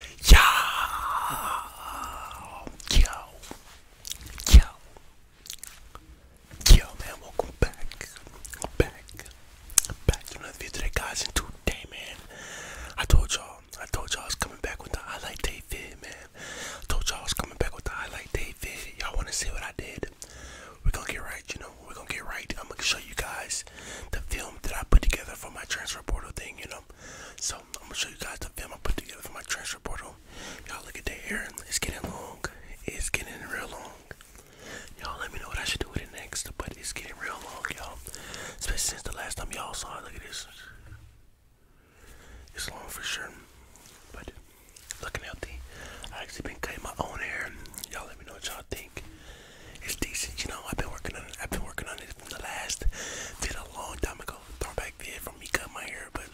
Yo, yo, yo, man! Welcome back, back, back to another video today, guys. And today, man, I told y'all, I told y'all I was coming back with the highlight day vid, man. I told y'all I was coming back with the highlight day vid. Y'all want to see what I did? we gonna get right, you know. we gonna get right. I'm gonna show you guys the film that I put together for my transfer portal thing, you know. So I'm gonna show you guys the film I put together for my transfer portal. Y'all look at that hair, it's getting long. It's getting real long. Y'all let me know what I should do with it next, but it's getting real long, y'all. Especially since the last time y'all saw it. Look at this. It's long for sure, but looking healthy. I actually been cutting my own hair. Y'all let me know what y'all think. It's decent, you know. I've been working on it. I've been working on it the last video a long time ago. Throwback video from me cut my hair, but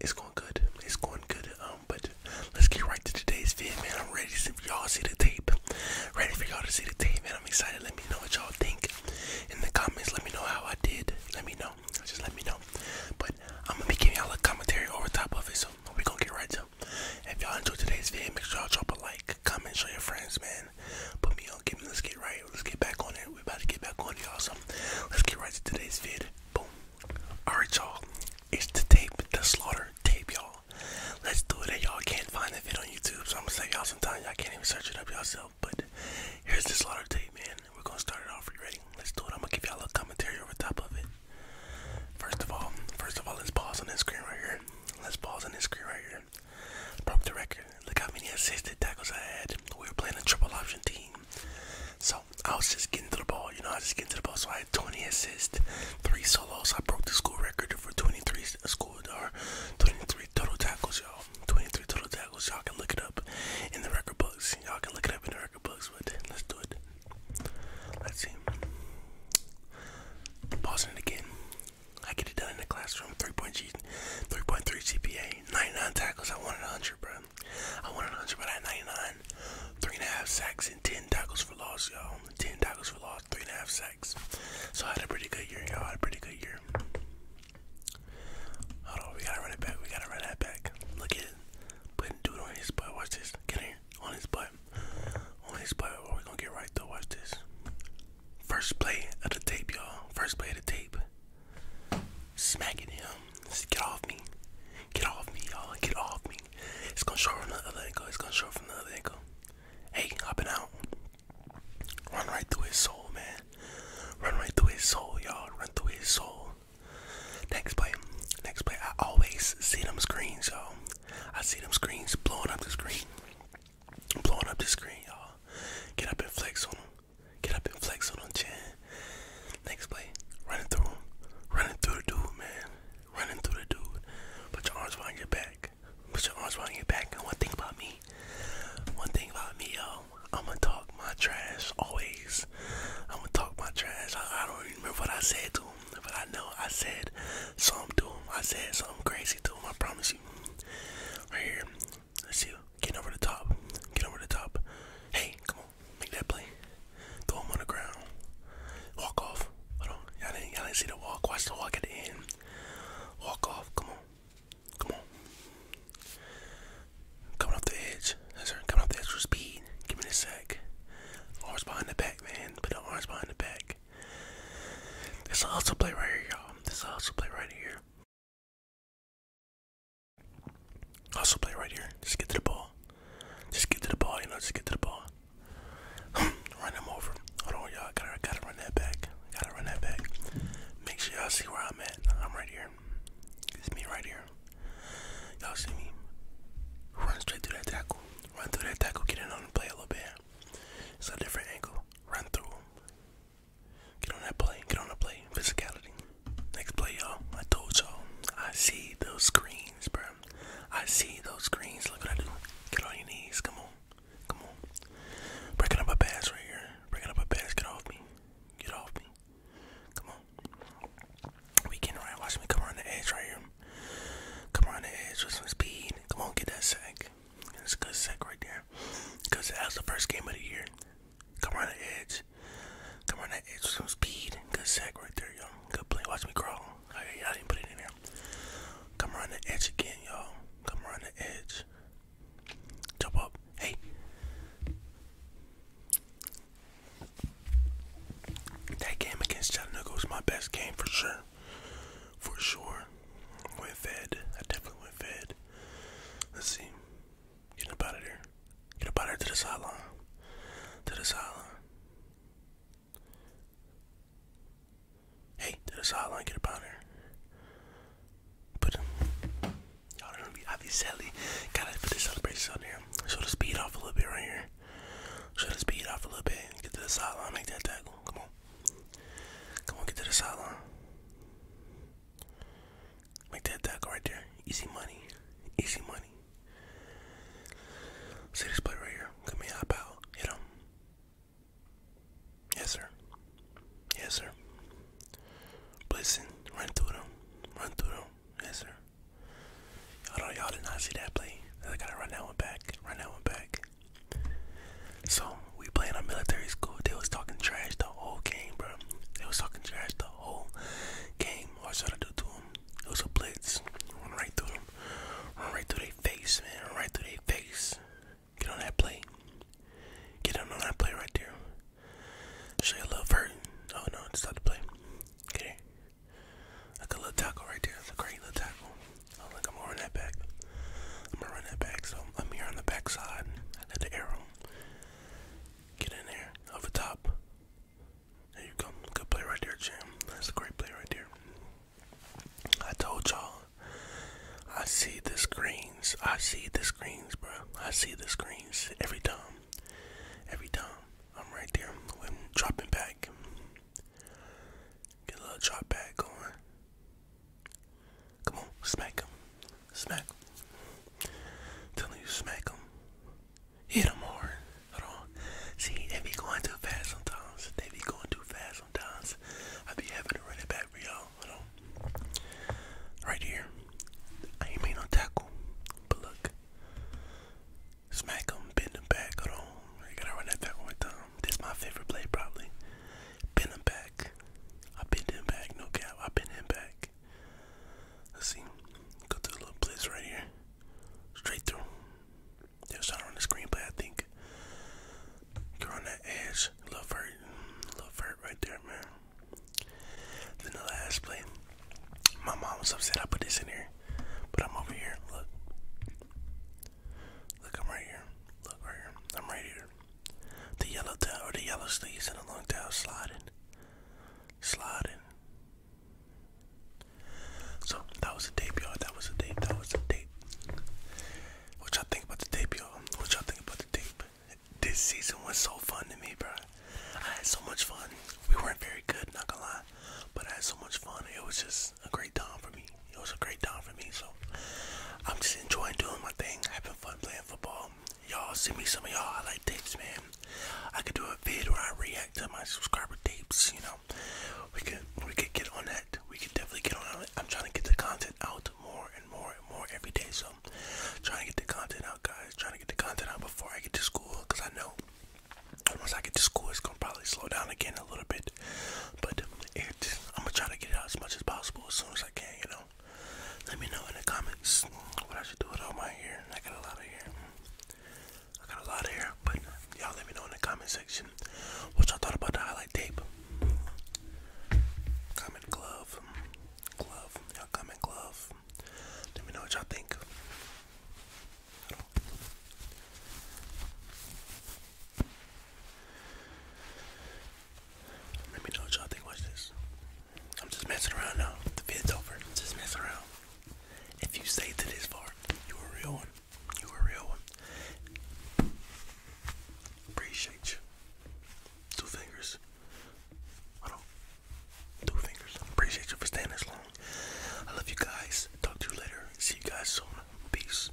it's going good. It's going good. Um, but let's get right to today's vid, man. I'm ready for y'all see the tape. Ready for y'all to see the tape, man. I'm excited. Let me know what y'all think in the comments. Let me know how I did. Let me know. Just let me know. But I'm gonna be giving y'all a commentary over top of it, so we're gonna get right to. It. If y'all enjoy today's video, make sure y'all drop a like, comment, show your friends, man man. Put me on, give me, let's get right. Let's get back on it. We're about to get back on y'all. So let's get right to today's vid. Boom. Alright, y'all. It's the tape, the slaughter tape, y'all. Let's do it. And y'all can't find the vid on YouTube. So I'm gonna say y'all sometimes y'all can't even search it up yourself. But here's the slaughter tape, man. We're gonna start it off. Are you ready? Let's do it. I'm gonna give y'all a commentary over top of it. First of all, first of all, let's pause on this screen right here. Let's pause on this screen right here. Broke the record. Look how many assisted tackles I had. We were playing a triple option team. So I was just getting to the ball, you know, I was just getting to the ball. So I had 20 assists, three solos. I broke the school record for 23 uh, school or 23 total tackles, y'all. 23 total tackles. Y'all can look it up in the record books. Y'all can look it up in the record books, but let's do it. Let's see. Pausing it again. I get it done in the classroom. 3.3 GPA, 99 tackles. I wanted 100, bro. I wanted 100, but I had 99. Three and a half sacks and 10 tackles for loss, y'all. 10 tackles for loss, three and a half sacks. So I had a pretty good year, y'all. I had a pretty good year. Hold on, we gotta run it back. We gotta run that back. Look at it. Putting dude on his butt. Watch this. Get here. On his butt. On his butt. we gonna get right though. Watch this. First play of the tape, y'all. First play of the tape. Smacking him. get off me. Get off me, y'all. Get off me. It's gonna show from the other angle. It's gonna show from the other angle. Hey, up and out. Run right through his soul, man. Run right through his soul, y'all. Run through his soul. Next play. Next play. I always see them screens, y'all. I see them screens blowing up the screen. I'm blowing up the screen, y'all. Get up and flex on them. Get up and flex on them, Next play, running through Running through the dude, man. Running through the dude. Put your arms around your back. Put your arms around your back. And one thing about me, one thing about me, y'all, I'ma talk my trash always. I'ma talk my trash. I, I don't even remember what I said to him, but I know I said something to him. I said something crazy to him. I promise you. Right here. Let's see. Get over the top. Get over the top. Hey, come on. Make that play. Throw him on the ground. Walk off. Hold on. Y'all didn't, didn't see the walk. Watch the walk at the end. Walk off. Come on. Come on. Coming off the edge. That's her. Coming off the edge with speed. Give me the sack. Arms behind the back, man. Put the arms behind the back. This will also play right here, y'all. This will also play right here. Also play right here. Just get to the ball. Just get to the ball, you know, just get to the ball. run him over. Hold on, y'all. Gotta, gotta run that back. Gotta run that back. Make sure y'all see where I'm at. I'm right here. It's me right here. Y'all see me. Run straight through that tackle. Run through that tackle. Get in on the play a little bit. It's a different angle. Run through them. Get on that play. Get on that play. Physicality. Next play, y'all. I told y'all. I see those screens, bro. I see those screens. Look what I do. Get on your knees. Come on. Come on. Breaking up a pass right here. Breaking up a pass. Get off me. Get off me. Come on. We can right. Watch me come around the edge right here. Come around the edge with some speed. Come on, get that sack. That's a good sack right there. Because that was the first game of the year. Come around the edge. Come around the edge with some speed. Good sack right there, y'all. Good play. Watch me crawl. I didn't put it in there. Come around the edge again, y'all. Come around the edge. Jump up. Hey. That game against Chattanooga was my best game for sure for sure. Went fed. I definitely went fed. Let's see. Get up out there. Get up out to the sideline. To the sideline. Hey, to the sideline. Get up out Put Y'all gonna be obviously gotta put the celebrations on there. Show the speed off a little bit right here. Show the speed off a little bit. Get to the sideline. Make that tackle. Come on. Come on, get to the sideline. Make that tackle right there. Easy money. Easy money. See this play right here. Come here, hop out. Hit him. Yes, sir. Yes, sir. Blitzen. Run through them. Run through them. Yes, sir. know Y'all did not see that play. I gotta run that one back. Run that one back. So we playing on military school. They was talking trash the whole game, bro. They was talking trash the whole game. What I was trying to do to them? It was a blitz. Run right through them. Run right through their face, man. Run right through their face. Get on that play. Get on that play right there. Show you a little vert. Oh no, stop the play. Okay, here. Like a little tackle right there. It's a great little tackle. I was like, I'm going that back. I'm going that back. So I'm here on the backside. I let the arrow get in there over top. There you go. Good play right there, Jim. That's a great play right there. I told y'all. I see the screens. I see the screens, bro. I see the screens every time. Every time. I'm right there. I'm dropping back. Get a little drop back going. Come on, smack him. Smack him. Telling you, smack him. Hit him hard. Hold on. See, they be going too fast sometimes. They be going too fast sometimes. I be having to run it back for y'all. Hold on. Right here. I ain't made no tackle. But look. Smack him, bend him back. Hold on. You gotta run that back one more time. This is my favorite play, probably. Bend him back. I bend him back. No cap. I bend him back. Let's see. Go to the little blitz right here. Straight through. There's will shot on the screen, but I think you're on that edge. Love vert. Love vert right there, man. Then the last play. My mom was upset I put this in here. But I'm over here. Look. Look, I'm right here. Look right here. I'm right here. The yellow tail or the yellow sleeves and the long tail sliding. Sliding. So that was a tape, y'all. That was a tape. That was a tape. What y'all think about the tape, y'all? What y'all think about the tape? This season was so fun to me, bro. I had so much fun. We weren't very good, not gonna lie, but I had so much fun. It was just a great time for me it was a great time for me. So I'm just enjoying doing my thing, having fun playing football. Y'all send me some of y'all highlight tapes, man. I could do a vid where I react to my subscriber tapes. You know, we could we could get on that. We could definitely get on it. I'm trying to get the content out more and more and more every day. So I'm trying to get the content out, guys. Trying to get the content out before I get to school, cause I know once I get to school, it's gonna probably slow down again a little bit. But it, I'm gonna try to get it out as much as possible as soon as I can, you know. Let me know in the comments what I should do with all my hair. I got a lot of hair. I got a lot of hair, but y'all let me know in the comment section what y'all thought about the highlight tape. Comment glove, glove, y'all comment glove. Let me know what y'all think. Let me know y'all think. Watch this. I'm just messing around now. The vid's over. just messing around. If you stayed to this far, you a real one. You a real one. Appreciate you. Two fingers. I don't. Two fingers. Appreciate you for staying this long. I love you guys. Talk to you later. See you guys soon. Peace.